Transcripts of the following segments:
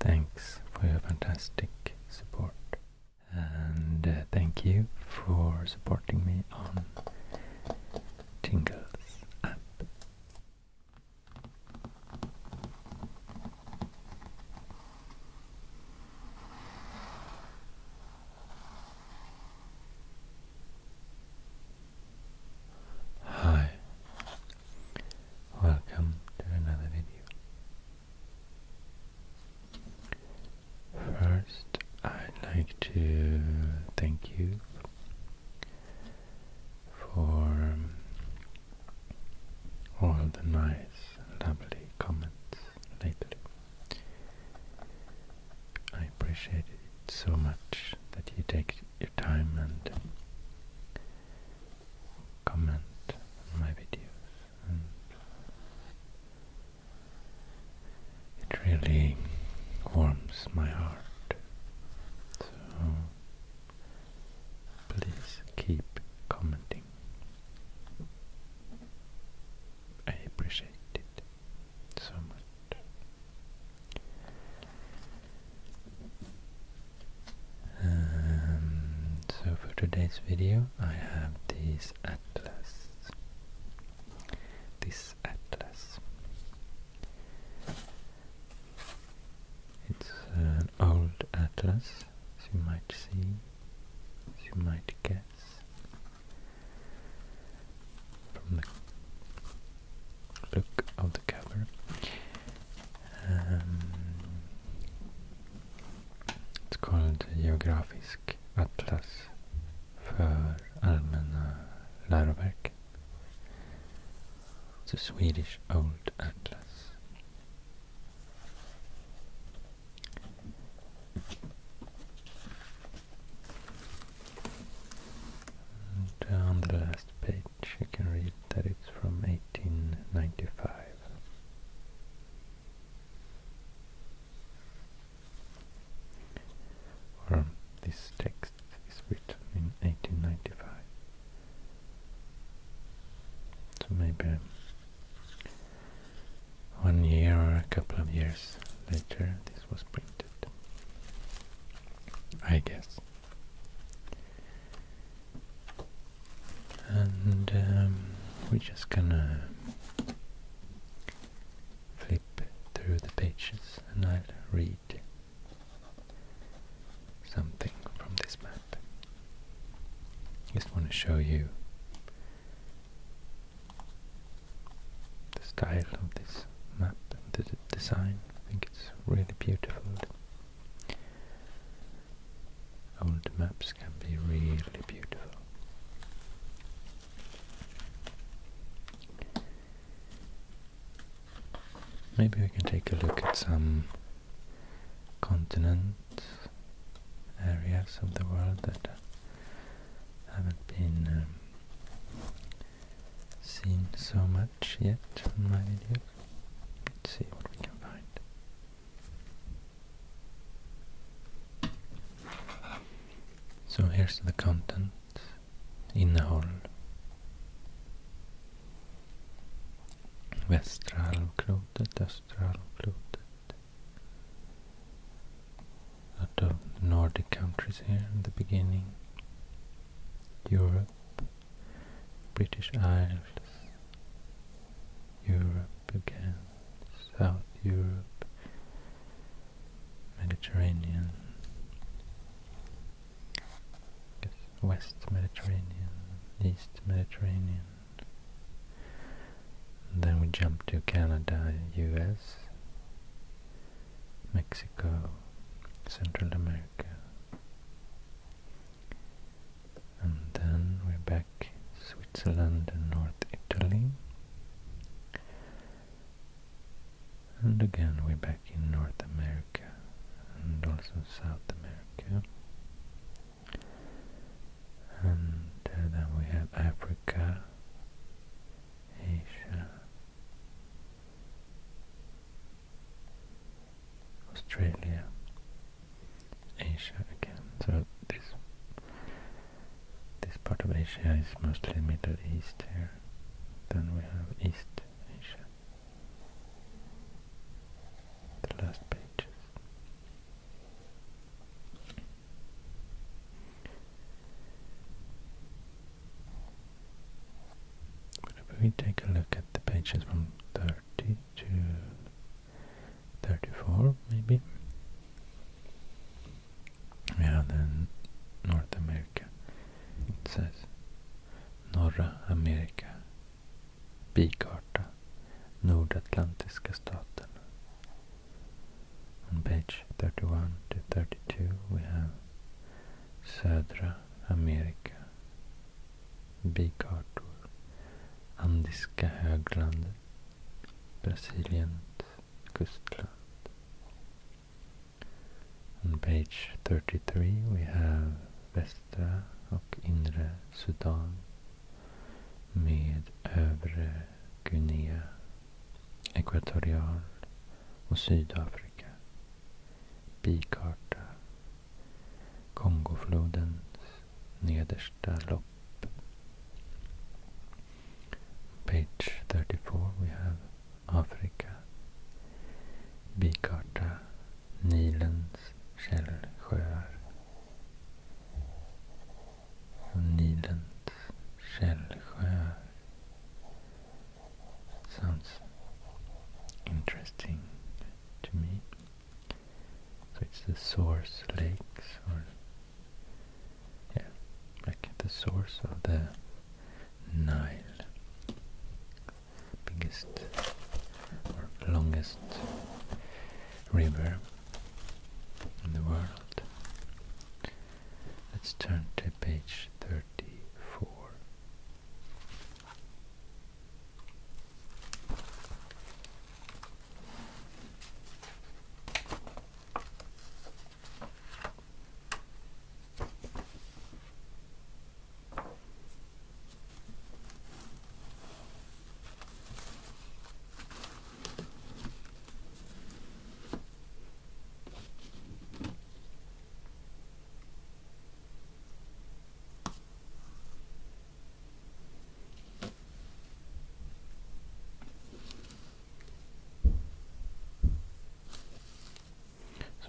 Thanks for your fantastic support, and uh, thank you for supporting me on Tingles app. Hi, welcome to another video. First, I'd like to thank you for all the nice, lovely comments lately. I appreciate it so much that you take your time and comment on my videos it really warms my heart. So Please keep commenting. I appreciate it so much. Um, so for today's video I have this atlas. This atlas. It's uh, an old atlas, as you might see, as you might guess from the look of the cover. Um, it's called Geografisk atlas för allmänna läroverk the Swedish Old Atlas. on the last page I can read that it's from 1895. this text is written in 1895. So maybe one year or a couple of years later this was printed, I guess. And um, we're just gonna flip through the pages and I'll read something from this map. Just want to show you the style of this map and the design. I think it's really beautiful. Old maps can be really beautiful. Maybe we can take a look at some continents, areas of the world that haven't been um, seen so much yet in my videos. see what we can find. So here's the content in the whole. Westral, halvklotet, östra halvklotet. Lot the Nordic countries here in the beginning. Europe, British Isles, Europe again, South Europe, Mediterranean, West Mediterranean, East Mediterranean. then we jump to Canada, US, Mexico, Central America. And then we're back Switzerland and North Italy. And again we're back in North America and also South America. And uh, then we have Africa, Asia, Australia, Asia again. So this this part of Asia is mostly Middle East here. Then we have East Asia the last pages. But if we take a look at the pages from 30 to 34, maybe, we then North America. It says Norra America bikarta Nordatlantiska staterna. On page 31 to 32 we have Södra Amerika, bikartor, Andiska höglandet, Brasiliens kustland. On page 33 we have Väst västra och inre Sudan med övre Guinea, Ekvatorial och Sydafrika, bikarta, Kongoflodens nedersta lopp. Page 34 we have Africa, bikarta Nilens källsjöar och Nilens sounds interesting to me. So it's the source lakes or yeah, like the source of the Nile biggest longest river in the world. Let's turn to page 34.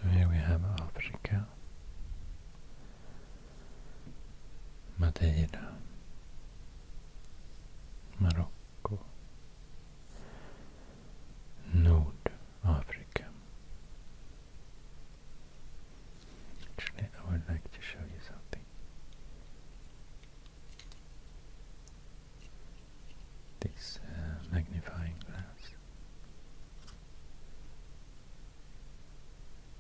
So here we have Africa Madeira, Morocco, North Africa. Actually, I would like to show you something. This uh, magnifying glass.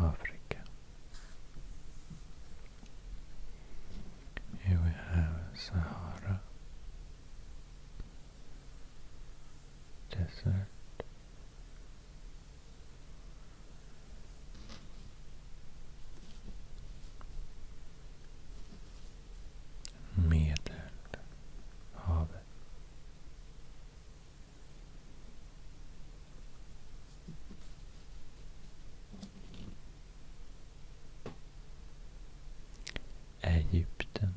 Africa. Here we have Sahara Desert. Medelhavet. Egypten.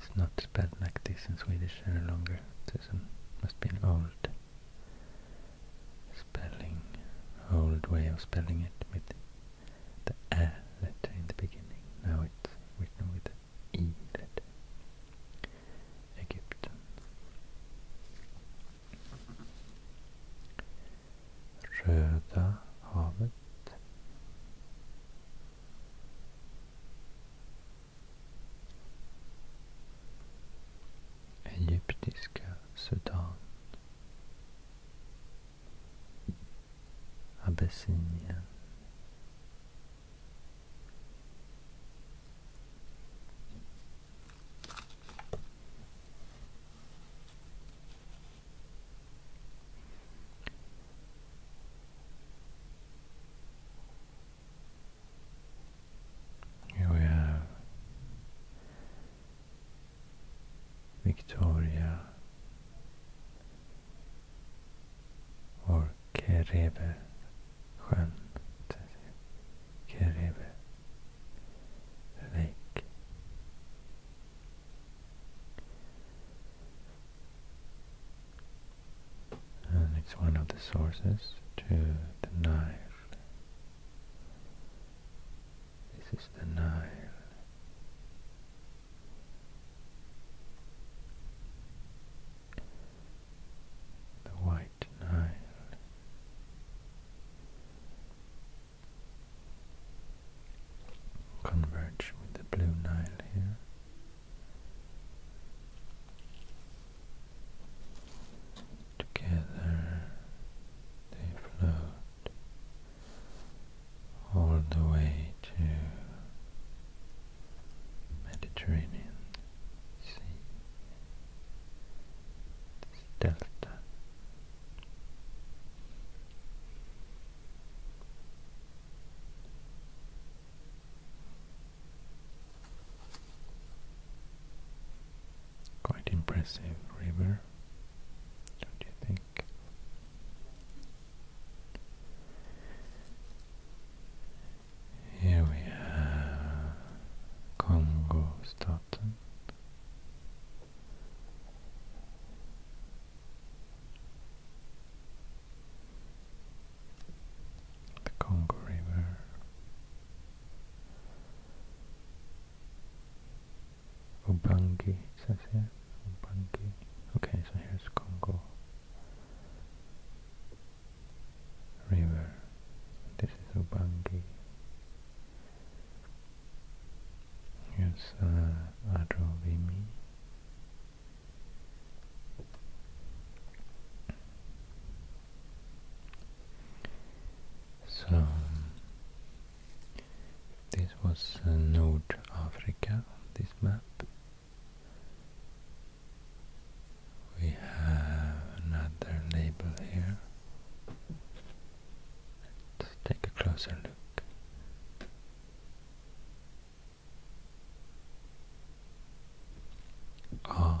It's not spelled like this in Swedish any longer. This must be an old spelling, old way of spelling it with the A letter in the beginning. Now it's written with the E letter. Egyptian. Röda havet. Egyptiska Sudan Abyssinia. Here we have Victoria, or Kerebe sjön, Kerebe lake. And it's one of the sources to the Nile. This is the Nile the White Nile. Converge with the Blue Nile here. Together they flowed all the way to Mediterranean Sea, delta. Quite impressive river, don't you think? Here we have Congo Staten. The Congo River. Ubangi, it says here. Okay, so here's Congo River. This is Ubangi. Here's uh, Adrovimi. So, this was uh, North Africa, this map. We have another label here. Let's take a closer look. Ah.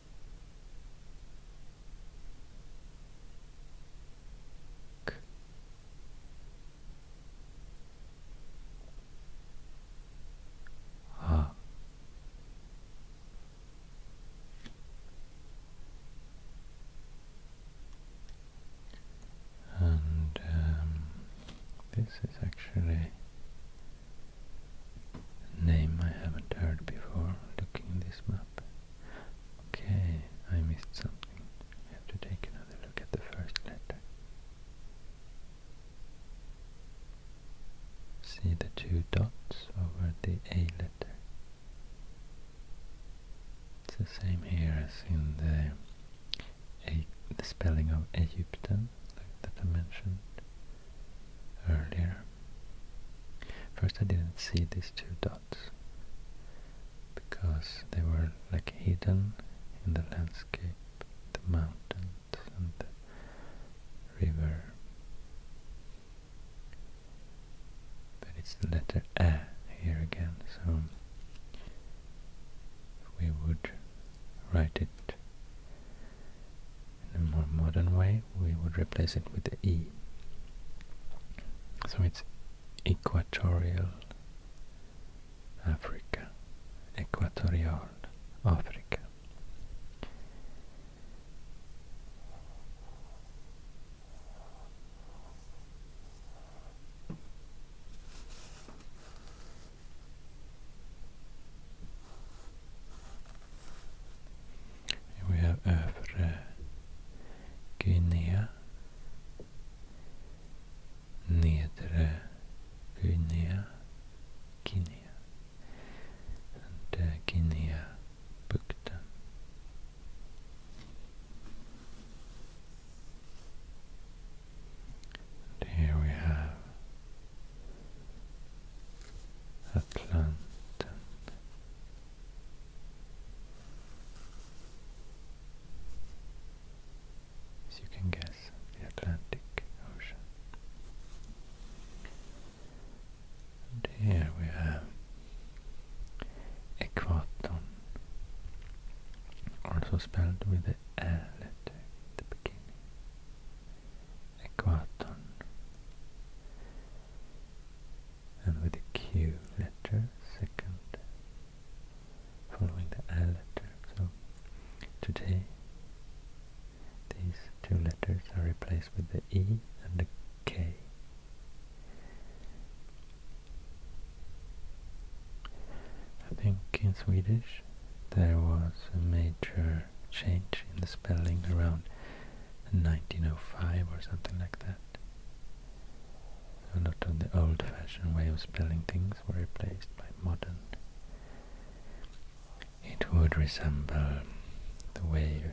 up and um, this is actually Name I haven't heard before looking this map. Okay, I missed something. I have to take another look at the first letter. See the two dots over the A letter. It's the same here as in the, A the spelling of Egyptian, like that I mentioned earlier First I didn't see these two dots because they were like hidden in the landscape, the mountains and the river. But it's the letter A here again, so we would write it in a more modern way, we would replace it with the E. So it's equatorial Africa, equatorial Africa. And we have Övre Guinea, Nedre Guinea, Guinea, and uh, Guinea-Bukten. And here we have Atlanten as you can guess, the Atlantic Ocean. And here we have Ekvaton, also spelled with the A letter at the beginning. Ekwaton. And with the Q letter, second, following the L letter. So today these two letters are replaced with the E and the K. I think in Swedish there was a major change in the spelling around 1905 or something like that. A lot of the old-fashioned way of spelling things were replaced by modern. It would resemble the way you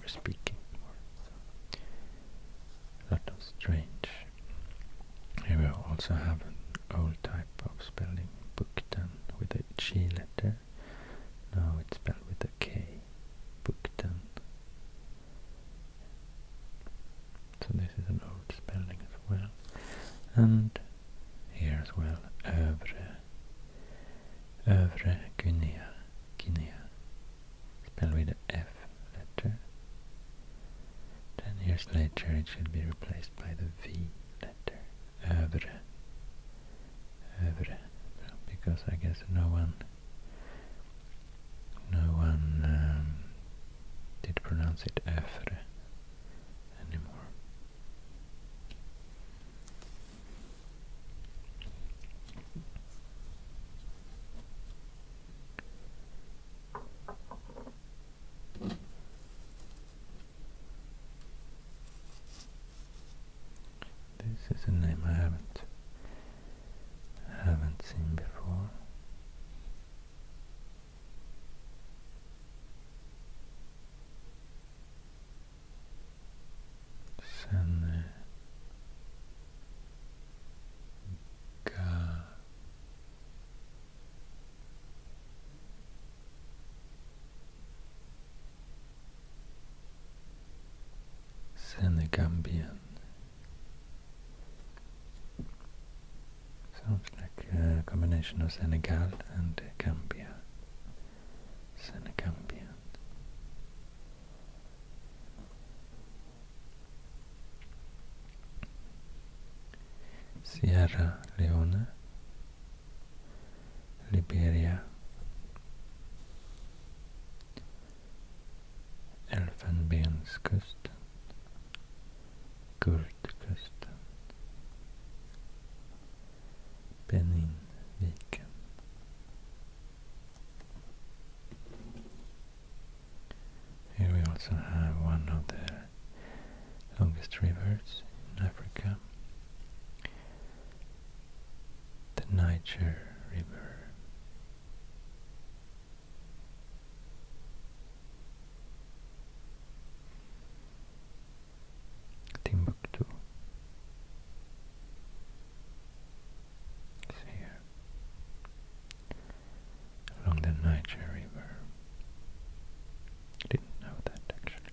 were speaking. a lot of strange. Here we also have an old type of spelling, book done with a G letter now it's spelled with a K, Buktan. So this is an old spelling as well. And here as well, Övre, Övre Guinea, Guinea, spelled with a F letter. Ten years later it should be replaced by the V letter, Övre Övre, because I guess no one no one um, did pronounce it afre anymore. This is a name I haven't haven't seen before. Sen Senegambian. Sounds like a combination of Senegal and Gambia. Senegambian. Sierra Leone Liberia, Elfenbenskusten, Kurdkusten, Beninviken. Here we also have one of the longest rivers in Africa, the Niger River. Timbuktu is here along the Niger River. Didn't know that actually.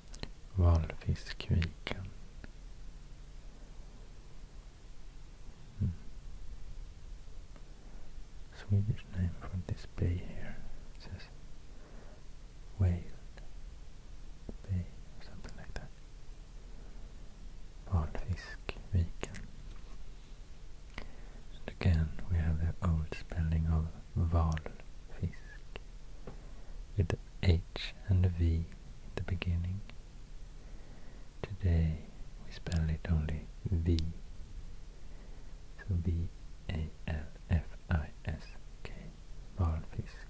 Valfiskviken. Mm. Swedish name for this bay here. It says Whale Bay or something like that. Valfiskviken. And again we have the old spelling of Val Fisk with the H and the V at the beginning. Today we spell it only V. So V A L F I S K Valfisk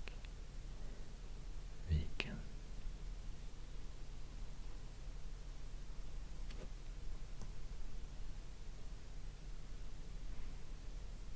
Vegan.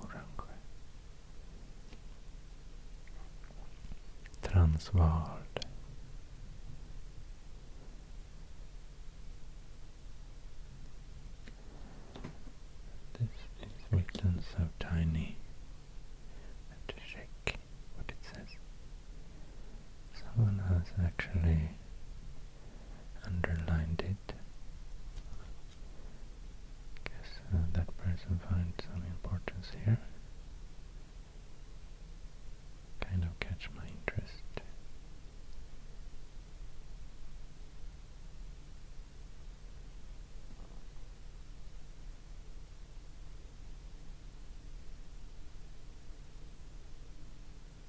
Oransjö. Transvaal. This is written so tiny. have to check what it says. Someone has actually underlined it. Guess uh, that person finds some importance here. Kind of catch my interest.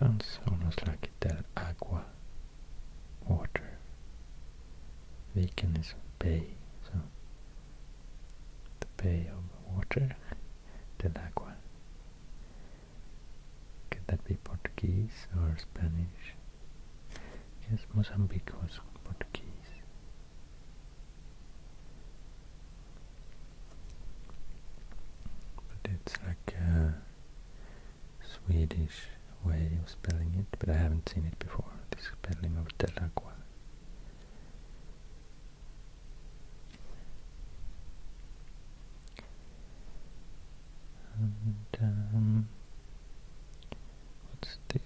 Sounds almost like Del Agua, water. Viken is bay, so the Bay of Water, Del Agua. Could that be Portuguese or Spanish? Yes, Mozambique was Portuguese. But it's like a Swedish way of spelling it, but I haven't seen it before, the spelling of Del Agua. And um, what's this?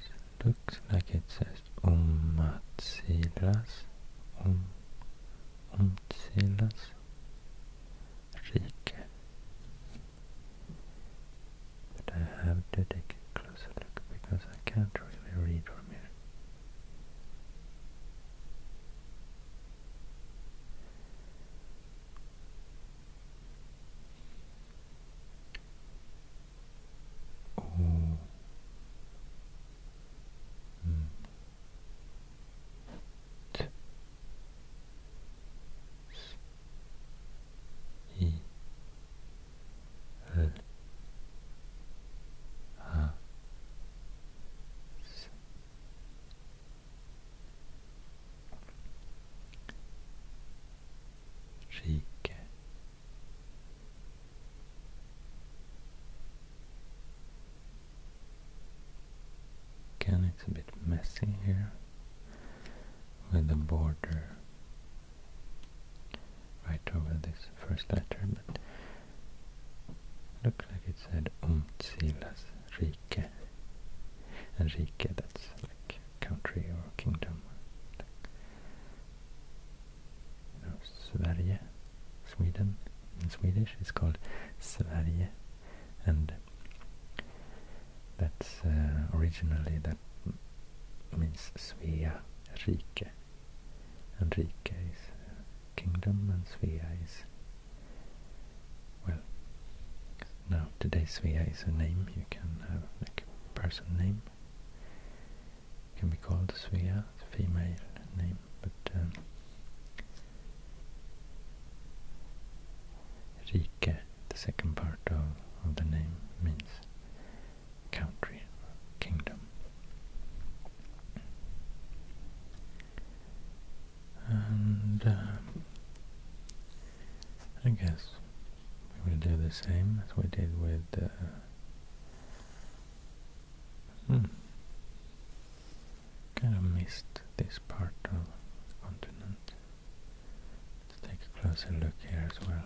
It looks like it says Omatsilas. Om, um, Omtsilas rike. But I have to take a closer look because I can't really read from here. Oh. Mm. T. S i l a s rike it's a bit messy here with the border right over this first letter, but looks like it said Umtsilas Rike. And Rike, that's like country or kingdom. Like, Sweden. In Swedish it's called Sverige. And that's uh, originally that means Svea Rike. And Rike is uh, kingdom and Svea is, well, now today Svea is a name, you can have like a person name. can be called Svea, female name, but um, Rike, the second part of, the name, means country, kingdom. And uh, I guess we will do the same as we did with uh, hmm, kind of missed this part of continent. Let's take a closer look here as well.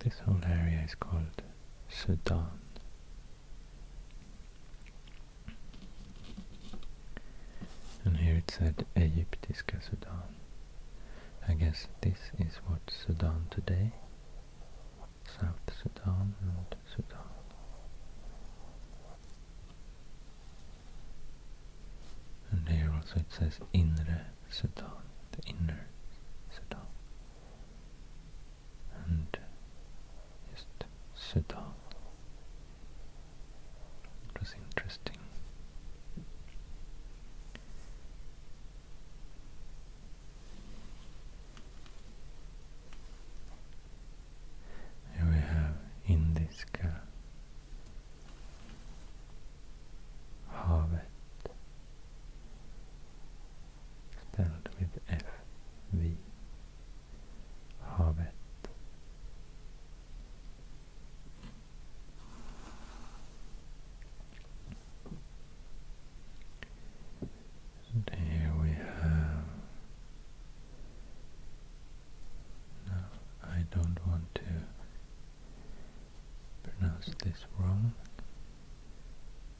This whole area is called Sudan. And here it said Egyptiska Sudan. I guess this is what Sudan today, South Sudan and Sudan. And here also it says Inre Sudan, the inner Sudan and East Sudan. It was interesting. Here we have Indiska, havet, spelled with F, V, havet. here we have. No, I don't want to pronounce this wrong.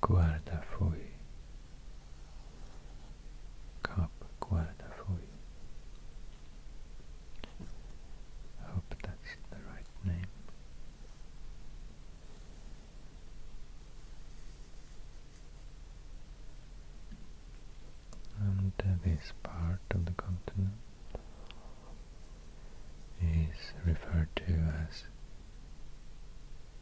guarda foi cup I hope that's the right name and this part of the continent is referred to as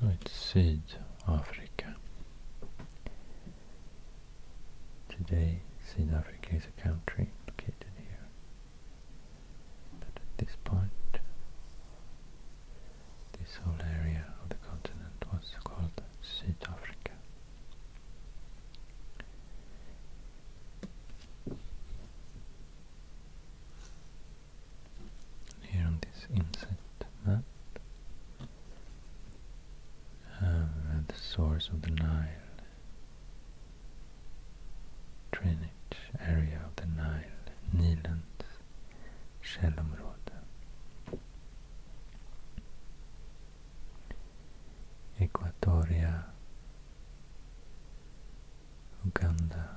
So it's ett Africa. Today, South Africa is a country located here. But at this point, this whole area of the continent was called South Africa here on this inset map at uh, the source of the Nile, drainage area of the Nile, Shalom källområde. Equatoria, Uganda,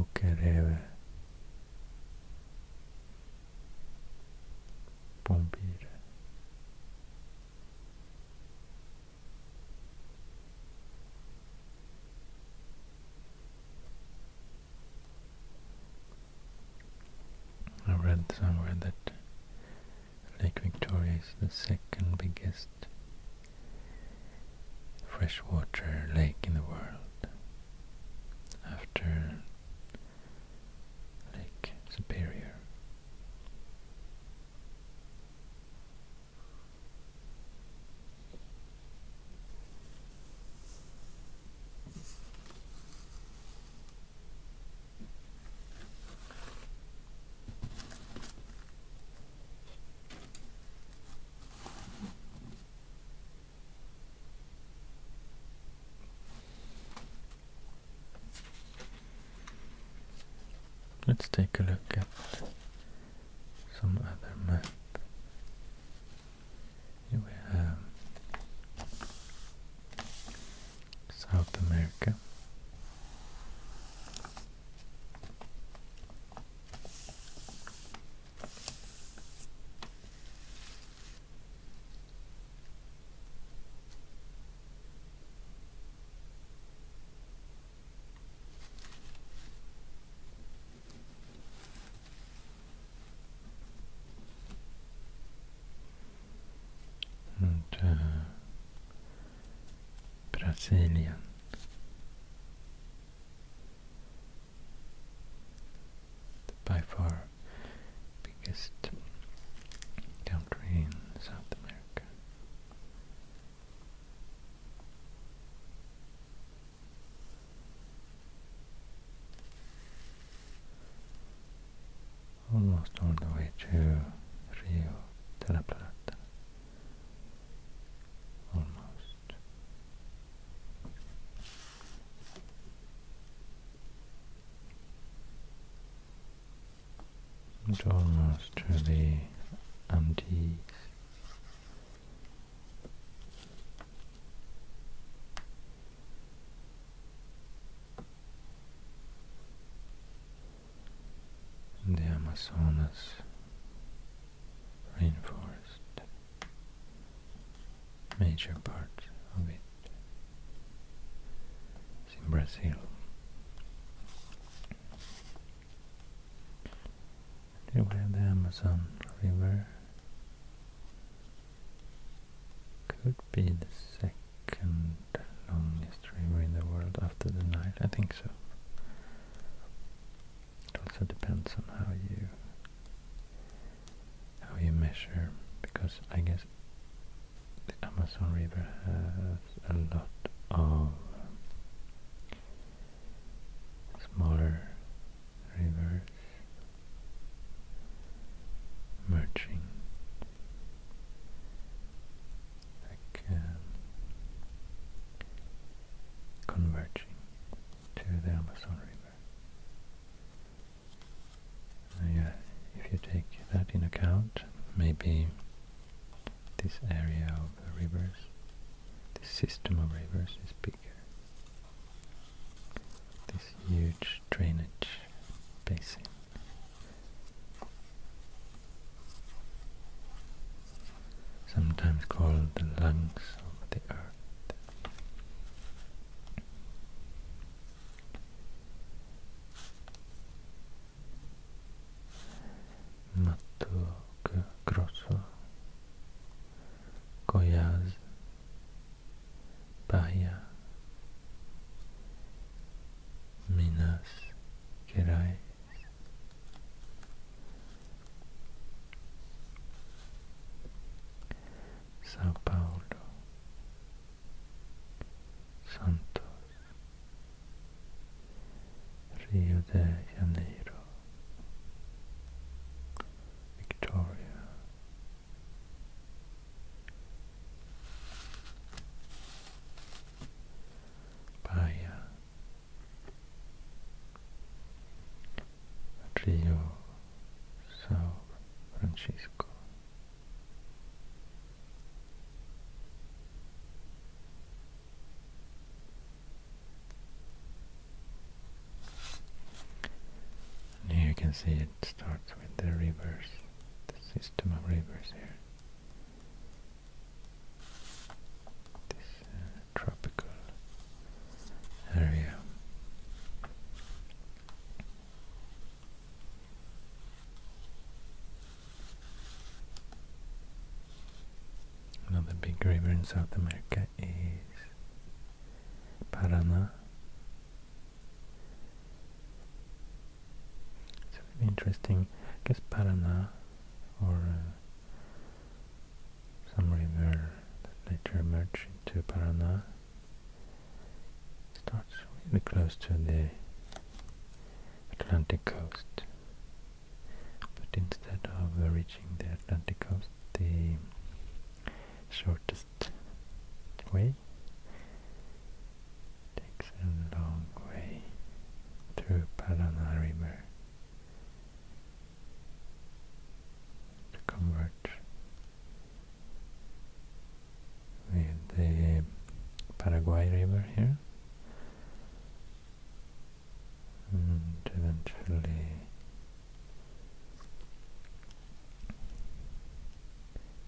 Okay, kräver bombir. I read somewhere that Lake Victoria is the second biggest freshwater lake in the world after Lake Superior. Let's take a look at some other map. Here we have South America. And, uh, Brasilien by far biggest country in South America almost all the way to Rio de la Plata. Almost. almost to the Andes the Amazonas rainforest, major part of it is in Brazil. Here we have the Amazon River, could be the second longest river in the world after the Nile? I think so. It also depends on how you how you measure, because I guess the Amazon River has a lot of smaller rivers merging like converging to the Amazon River. Uh, if you take that in account, maybe this area of the rivers, this system of rivers is bigger. This huge drainage basin sometimes called the lungs of the earth. Mato Grosso, Goiás, Bahia, Minas Gerais. Sao Paulo, Santos, Rio de Janeiro, Victoria, by uh, Rio Sao Francisco. And here you can see it starts with the rivers, the system of rivers here this uh, tropical area. Another big river in South America is Paraná. It's really interesting. I guess Paraná or uh, some river that later merged into Paraná. It starts really close to the Atlantic coast, but instead of reaching the Atlantic coast, the shortest way takes a long way through Paraná River to converge with the Paraguay River here and eventually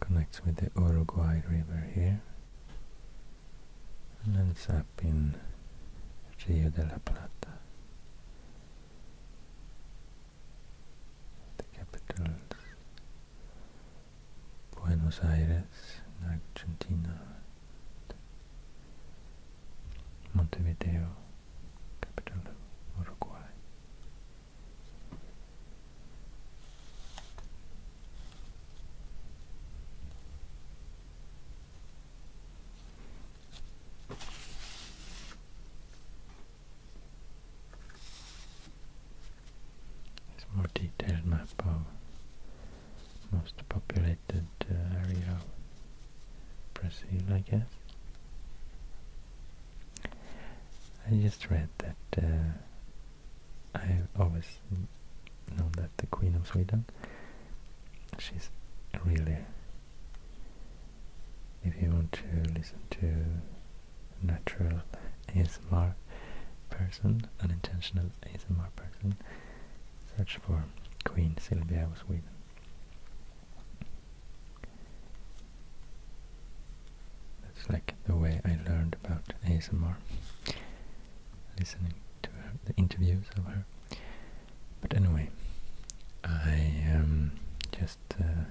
connects with the Uruguay River here and ends up in Rio de la Plata, the capital Buenos Aires Argentina, Montevideo, capital of Uruguay. It's more detailed map of most populated uh, area Brazil, I guess. I just read that uh, i always know that the Queen of Sweden, she's really, if you want to listen to natural ASMR person, unintentional ASMR person, search for Queen Silvia of Sweden. That's like the way I learned about ASMR listening to the interviews of her. But anyway, I um, just uh,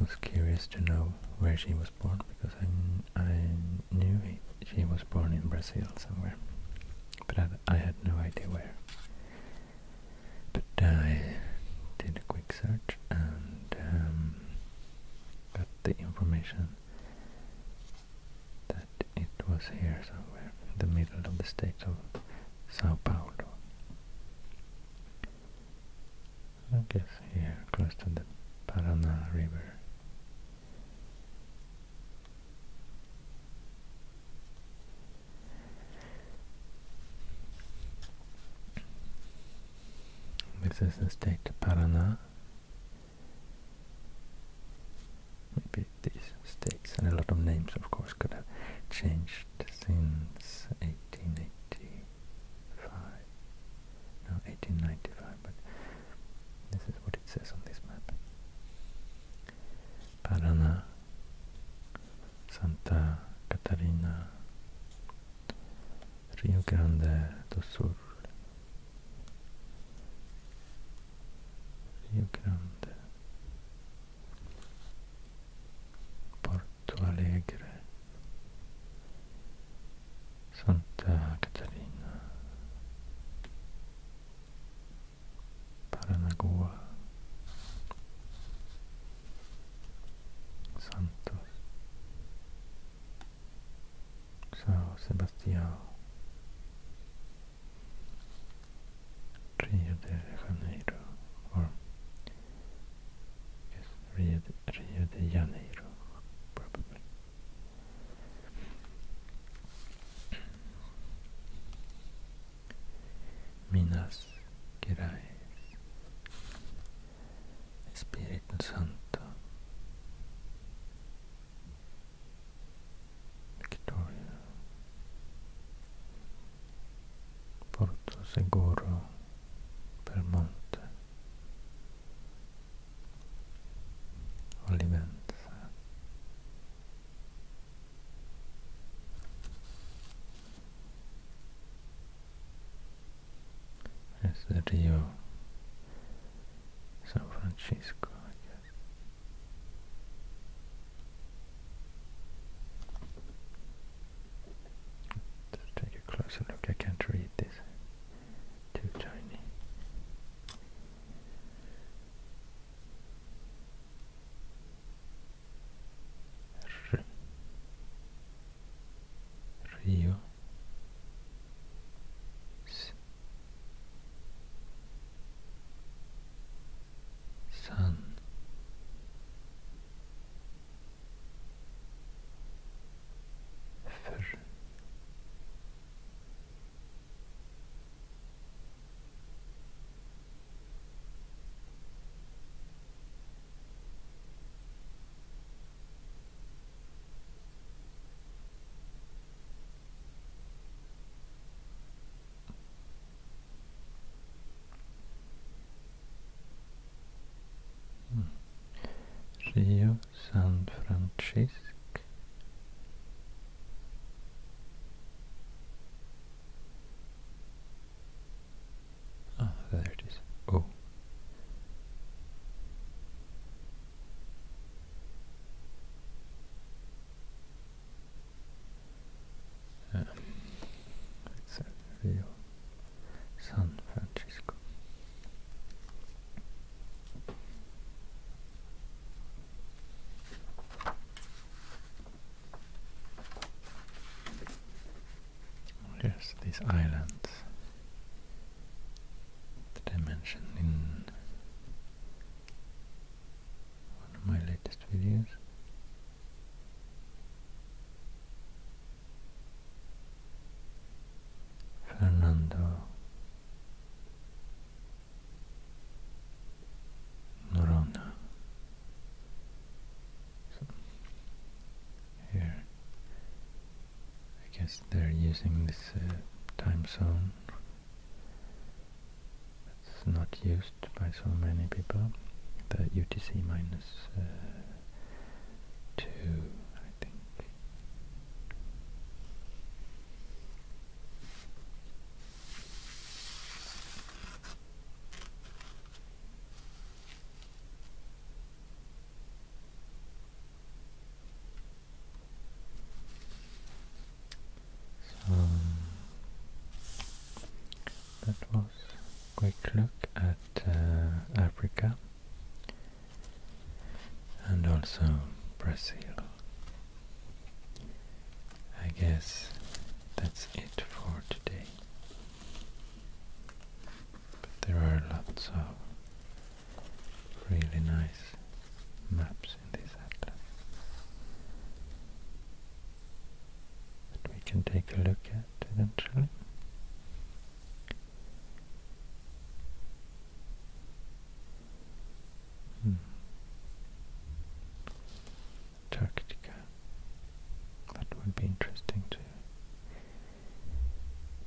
was curious to know where she was born because I, I knew she was born in Brazil somewhere, but I, I had no idea where. But I did a quick search and um, the information that it was here somewhere in the middle of the state of Sao Paulo. I guess here, close to the Paraná River. This is the state of Paraná Maybe these states and a lot of names, of course, could have changed since 1885. No, 1895, but this is what it says on this map. Paraná, Santa Catarina, Rio Grande do Sul, Rio Grande. Porto Alegre. Santa Catarina. Paranagua Santos. Sao Sebastián, Trio de Janeiro, o de, de Janeiro, probably. Minas Gerais, Espíritu Santo. Victoria, Porto Seguro, Permonte, Olivenza, Rio San Francisco, I guess. Let's take a closer look. I can't read this. Too tiny. Rio sun fır Rio, San Francisco. Ah, there it is. Oh. San Francisco. Yes, these islands that I mentioned in one of my latest videos. Fernando Norona. here, I guess they're using this uh, time zone it's not used by so many people. The UTC uh, 2, I think. So that was a quick look at uh, Africa and also Brazil. I guess that's it for today. But there are lots of really nice maps in this atlas that we can take a look at eventually. Hmm. Antarctica. That would be interesting to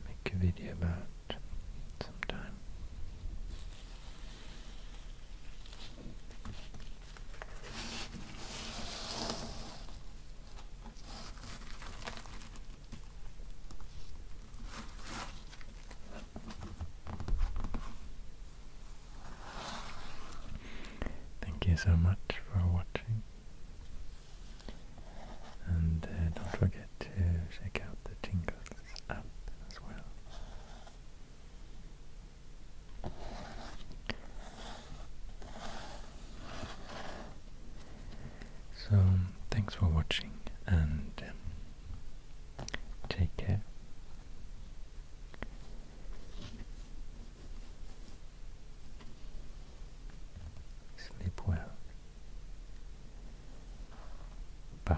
make a video about. Thank you so much for watching. And uh, don't forget to check out the Tingles app as well. So, thanks for watching and um, take care. Sleep well. Bye.